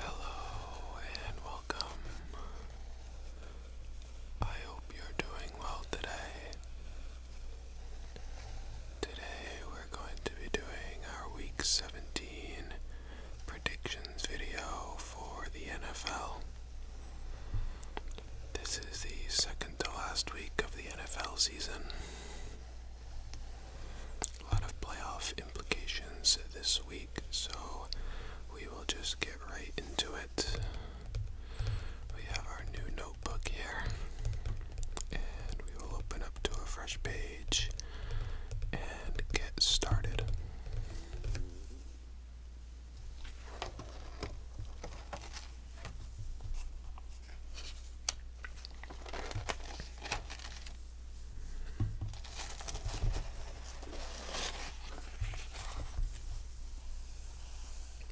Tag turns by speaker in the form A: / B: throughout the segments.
A: Hello and welcome. I hope you're doing well today. Today we're going to be doing our week 17 predictions video for the NFL. This is the second to last week of the NFL season. A lot of playoff implications this week, so we will just get right into it. We have our new notebook here, and we will open up to a fresh page and get started.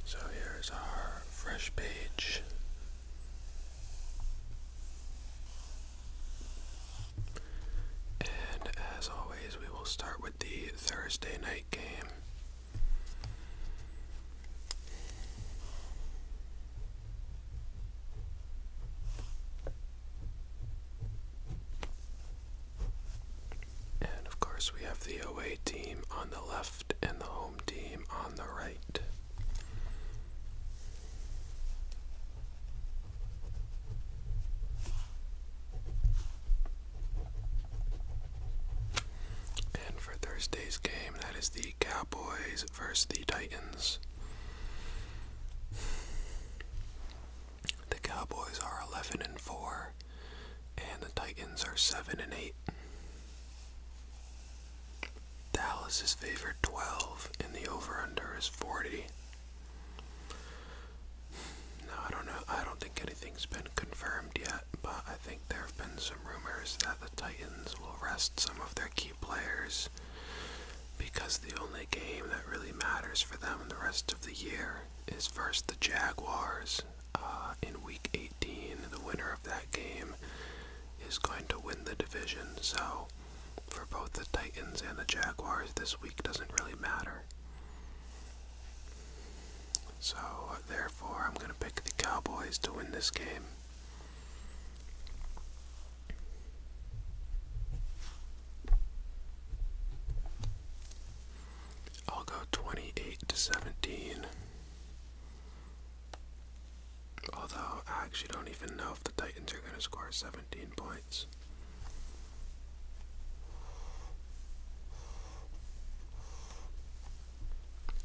A: So here's our fresh page. And as always, we will start with the Thursday night game. And of course, we have the away team on the left and the home team on the right. And for Thursday's game, that is the the Cowboys versus the Titans. The Cowboys are 11 and 4 and the Titans are 7 and 8. Dallas is favored 12 and the over under is 40. Now I don't know I don't think anything's been confirmed yet, but I think there have been some rumors that the Titans will rest some of their key players because the only game that really matters for them the rest of the year is versus the Jaguars uh, in Week 18. The winner of that game is going to win the division. So for both the Titans and the Jaguars, this week doesn't really matter. So, therefore, I'm going to pick the Cowboys to win this game. I'll go 28 to 17. Although, I actually don't even know if the Titans are going to score 17 points.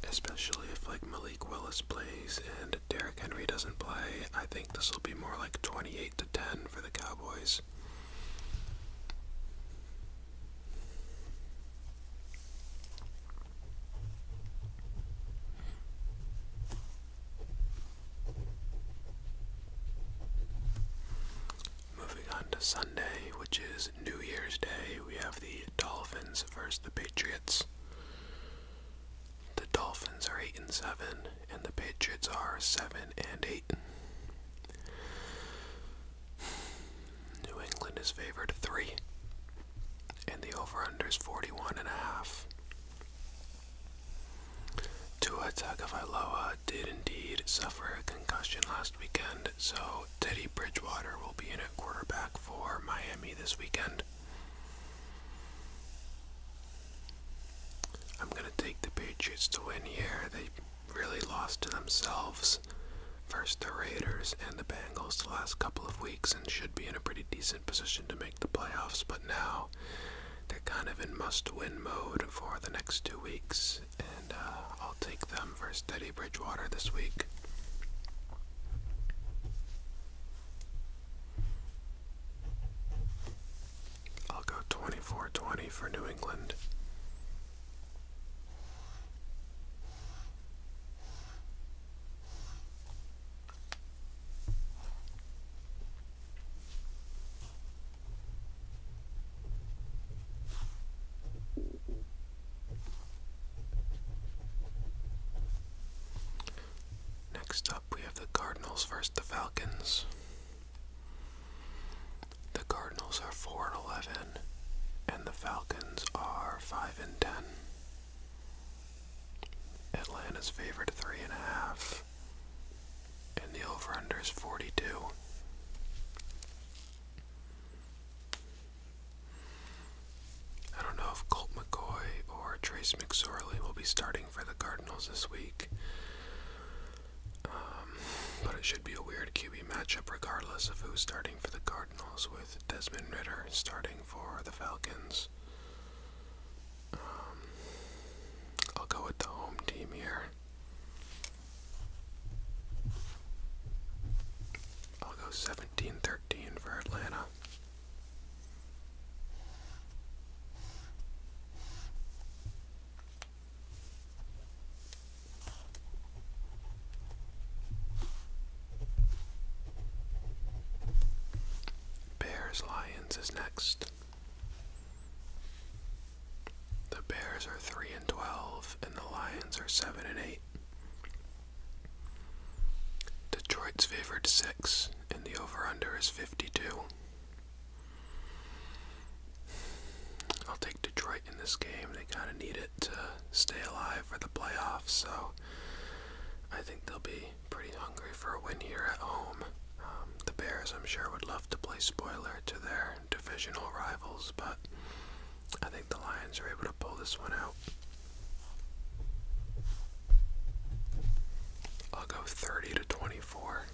A: Especially if like Malik Willis plays and Derrick Henry doesn't play, I think this will be more like 28 to 10 for the Cowboys. Moving on to Sunday, which is New Year's Day, we have the Dolphins versus the Patriots. The Dolphins are 8 and 7, and the Patriots are 7 and 8. New England is favored 3, and the over under is 41.5. Tua Tagovailoa did indeed suffer a concussion last weekend, so Teddy Bridgewater will be in at quarterback for Miami this weekend. I'm going to take the Patriots to win here. They really lost to themselves. First the Raiders and the Bengals the last couple of weeks and should be in a pretty decent position to make the playoffs, but now they're kind of in must win mode for the next two weeks, and uh, I'll take them for a steady Bridgewater this week. I'll go 24 for New England. Next up, we have the Cardinals versus the Falcons. The Cardinals are 4 and 11, and the Falcons are 5 and 10. Atlanta's favored 3.5, and the over under is 42. I don't know if Colt McCoy or Trace McSorley will be starting for the Cardinals this week. Um, but it should be a weird QB matchup regardless of who's starting for the Cardinals, with Desmond Ritter starting for the Falcons. Um, I'll go with the home team here. I'll go 17 13 for Atlanta. Bears Lions is next. The Bears are 3 and 12 and the Lions are 7 and 8. Detroit's favored 6, and the over under is 52. I'll take Detroit in this game. They kind of need it to stay alive for the playoffs, so I think they'll be pretty hungry for a win here at home. Um, the Bears, I'm sure, would love to play spoiler to their divisional rivals, but I think the Lions are able to pull this one out. I'll go 30 to 24.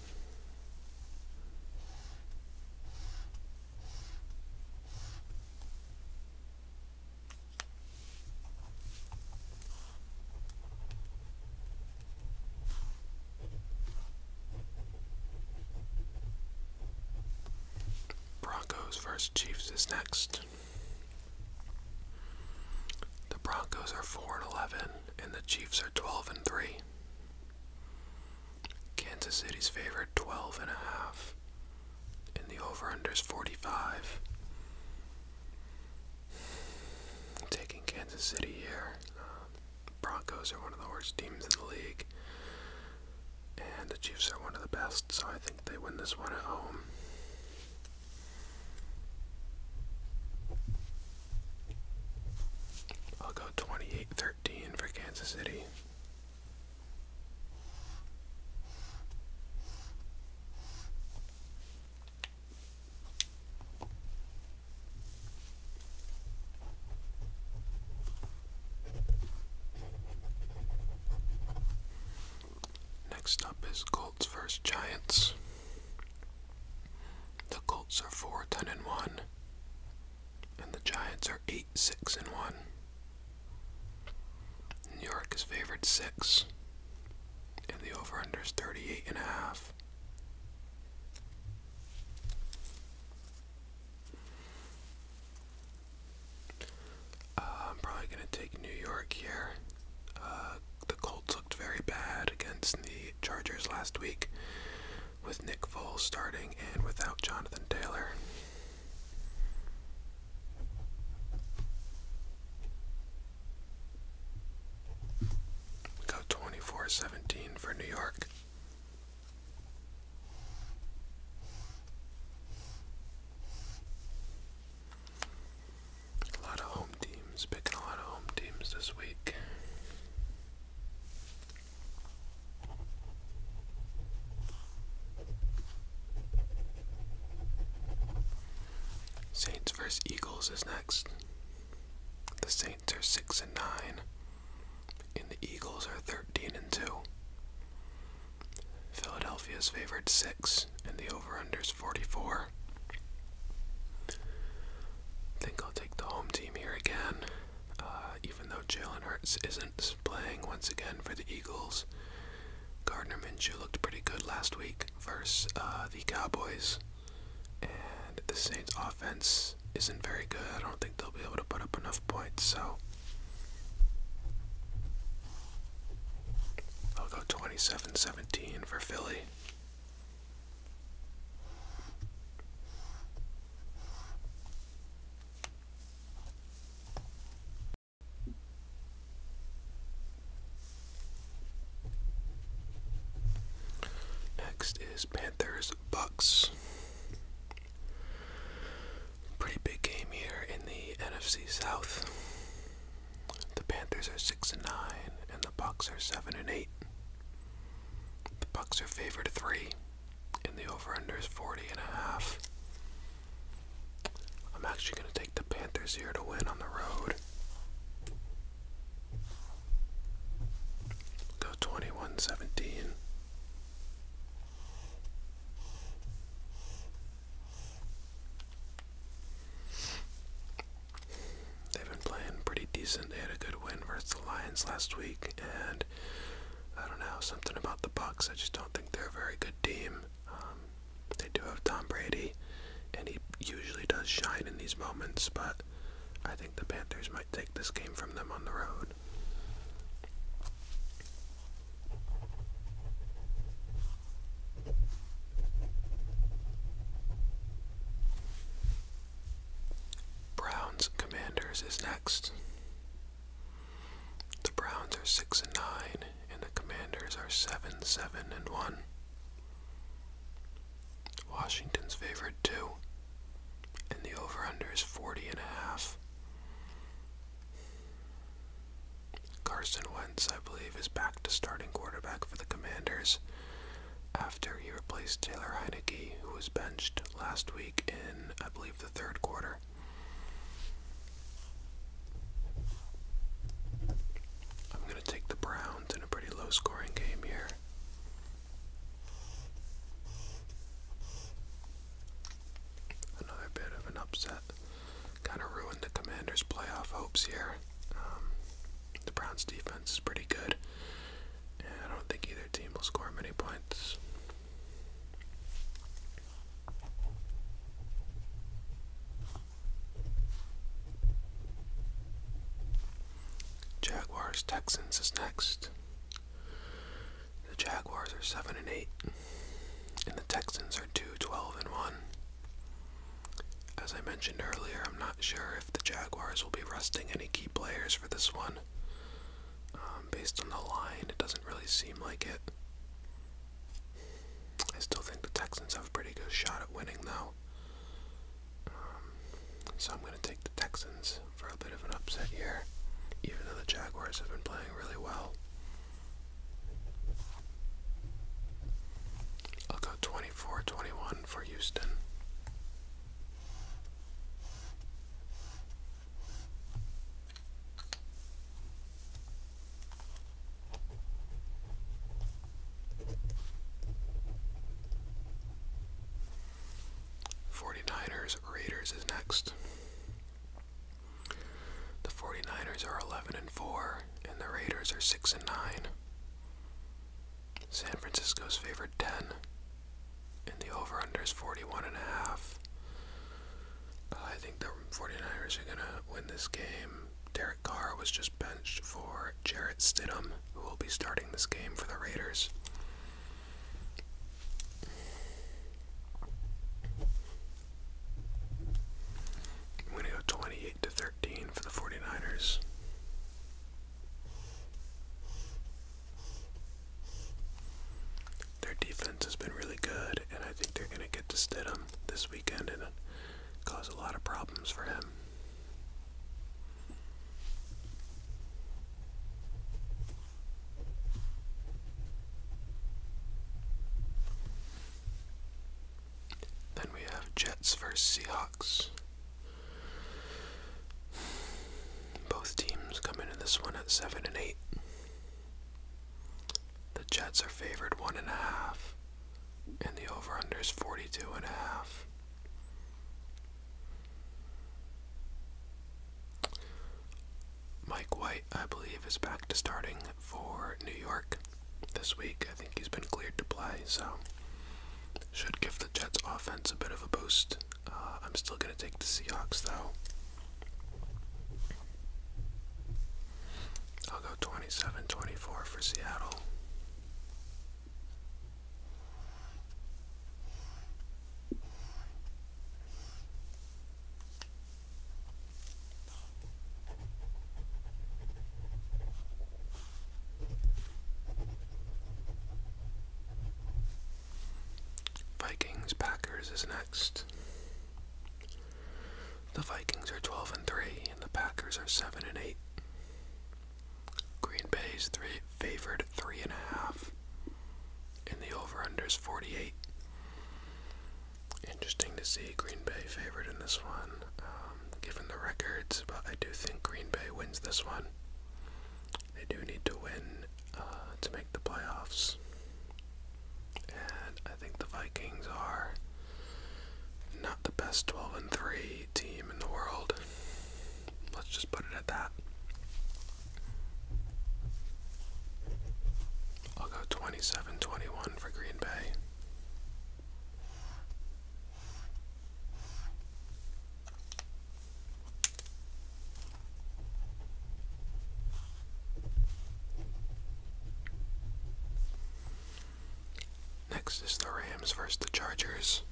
A: Broncos vs. Chiefs is next. The Broncos are 4 and 11, and the Chiefs are 12 and 3. Kansas City's favorite 12 and a half, and the over/under is 45. taking Kansas City here. Uh, Broncos are one of the worst teams in the league. And the Chiefs are one of the best, so I think they win this one at home. I'll go 28 for Kansas City. Next up is Colts vs. Giants. The Colts are 4 10 and 1, and the Giants are 8 6 and 1. New York is favored 6, and the over under is 38 and a half. Uh, I'm probably going to take New York here. Uh, the Colts looked very bad against the Chargers last week with Nick Foles starting and without Jonathan Taylor. go 24 for New York. A lot of home teams, picking a lot of home teams this week. Saints vs. Eagles is next. The Saints are six and nine and the Eagles are 13 and 2. Philadelphia's favored 6 and the over-under is 44. I think I'll take the home team here again. Uh, even though Jalen Hurts isn't playing once again for the Eagles, Gardner Minshew looked pretty good last week versus uh, the Cowboys. And the Saints offense isn't very good. I don't think they'll be able to put up enough points, so I'll go 27 17 for Philly. Next is Panthers Bucks. Pretty big game here in the NFC South. The Panthers are six and nine, and the Bucks are seven and eight. The Bucks are favored three, and the over/under is forty and a half. I'm actually gonna take the Panthers here to win on the road. Go twenty one seventeen. They've been playing pretty decent. They had a good win versus the Lions last week, and I don't know something about the Bucks. I just don't think they're a very good team. Um, they do have Tom Brady, and he usually does shine in these moments, but I think the Panthers might take this game from them on the road. Browns Commanders is next. The Browns are 6 and 9 and the Commanders are 7 7 and 1. Washington's favorite too, and the over-under is 40 and a half. Carson Wentz, I believe, is back to starting quarterback for the Commanders after he replaced Taylor Heineke, who was benched last week in, I believe, the third quarter. I'm going to take the Browns in a pretty low scoring game here. Another bit of an upset. Kind of ruined the Commanders' playoff hopes here. Um, the Browns' defense is pretty good, I don't think either team will score many points. Jaguars Texans is next. The Jaguars are seven and eight, and the Texans are two twelve and one. As I mentioned earlier, I'm not sure if the Jaguars will be resting any key players for this one. Um, based on the line, it doesn't really seem like it. I still think the Texans have a pretty good shot at winning, though. Um, so I'm going to take the Texans for a bit of an upset here, even though the Jaguars have been playing really well. I'll go 24 for Houston. 49ers Raiders is next. The 49ers are 11 and 4 and the Raiders are 6 and 9. San Francisco's favorite 10 and the over under is 41 and a half. Uh, I think the 49ers are going to win this game Derek Carr was just benched for Jarrett Stidham, who will be starting this game for the Raiders. I'm going to go 28 to 13 for the 49ers. Their defense has been really good, and I think they're going to get to Stidham this weekend and cause a lot of problems for him. Then we have Jets versus Seahawks. Both teams come into this one at 7 and 8. The Jets are favored 1.5 and the over under is 42 and a half. Mike White, I believe, is back to starting for New York this week. I think he's been cleared to play, so should give the Jets offense a bit of a boost. Uh, I'm still going to take the Seahawks, though. I'll go 27 24 for Seattle. Vikings Packers is next. The Vikings are 12 and 3, and the Packers are 7 and 8. Green Bay is three, favored 3.5, and, and the over under is 48. Interesting to see Green Bay favored in this one, um, given the records, but I do think Green Bay wins this one. They do need to win uh, to make the playoffs. And I think the Vikings are not the best 12 and 3 team in the world. Let's just put it at that. I'll go 27 21 for Green Bay. Next is the Rams versus the Chargers.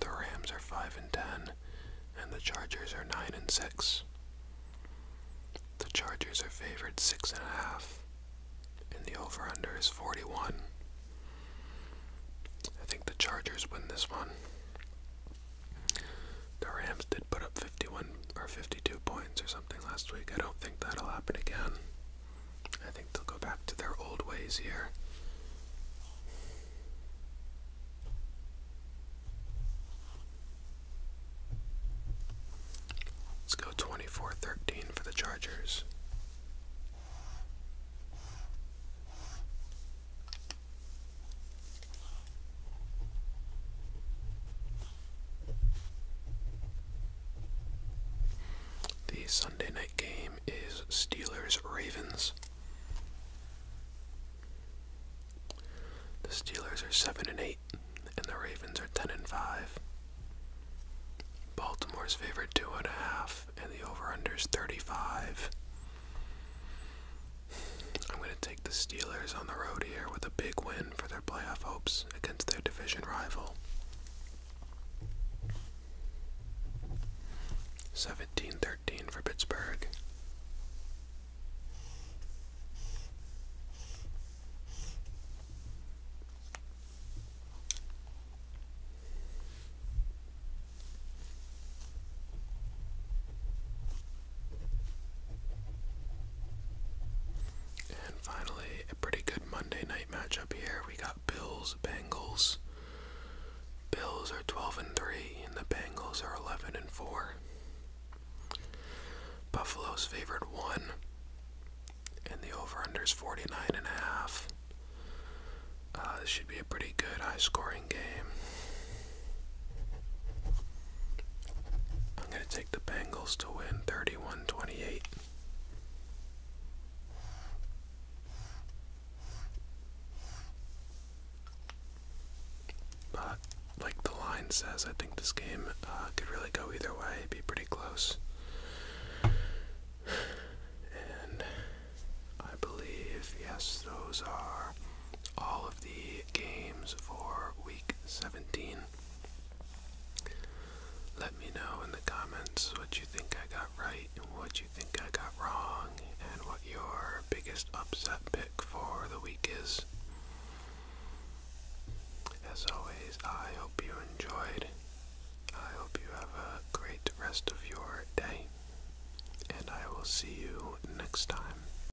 A: The Rams are 5 and 10 and the Chargers are 9 and 6. The Chargers are favored 6.5, and, and the over under is 41. I think the Chargers win this one. The Rams did put up 51 or 52 points or something last week. I don't think that'll happen again. I think they'll go back to their old ways here. Let's go 24 for the Chargers. The Sunday night game is Steelers Ravens. The Steelers are 7 and 8 and the Ravens are 10 and 5. Baltimore's favorite 2.5 and, and the over-under is 35. I'm going to take the Steelers on the road here with a big win for their playoff hopes against their division rival. seventeen thirteen for Pittsburgh. And finally, a pretty good Monday night matchup here. We got Bills, Bengals. Bills are 12 and 3, and the Bengals are 11 and 4. Buffalo's favored 1, and the over-under is 49 and a half. Uh, this should be a pretty good high-scoring game. I'm going to take the Bengals to win 31 28. But, like the line says, I think this game uh, could really go either way, be pretty close. And I believe, yes, those are all of the games for week 17. Let me know in the comments what you think I got right and what you think I got wrong, and what your biggest upset pick for the week is. As always, I hope you enjoyed. I hope you have a great rest of your day, and I will see you next time.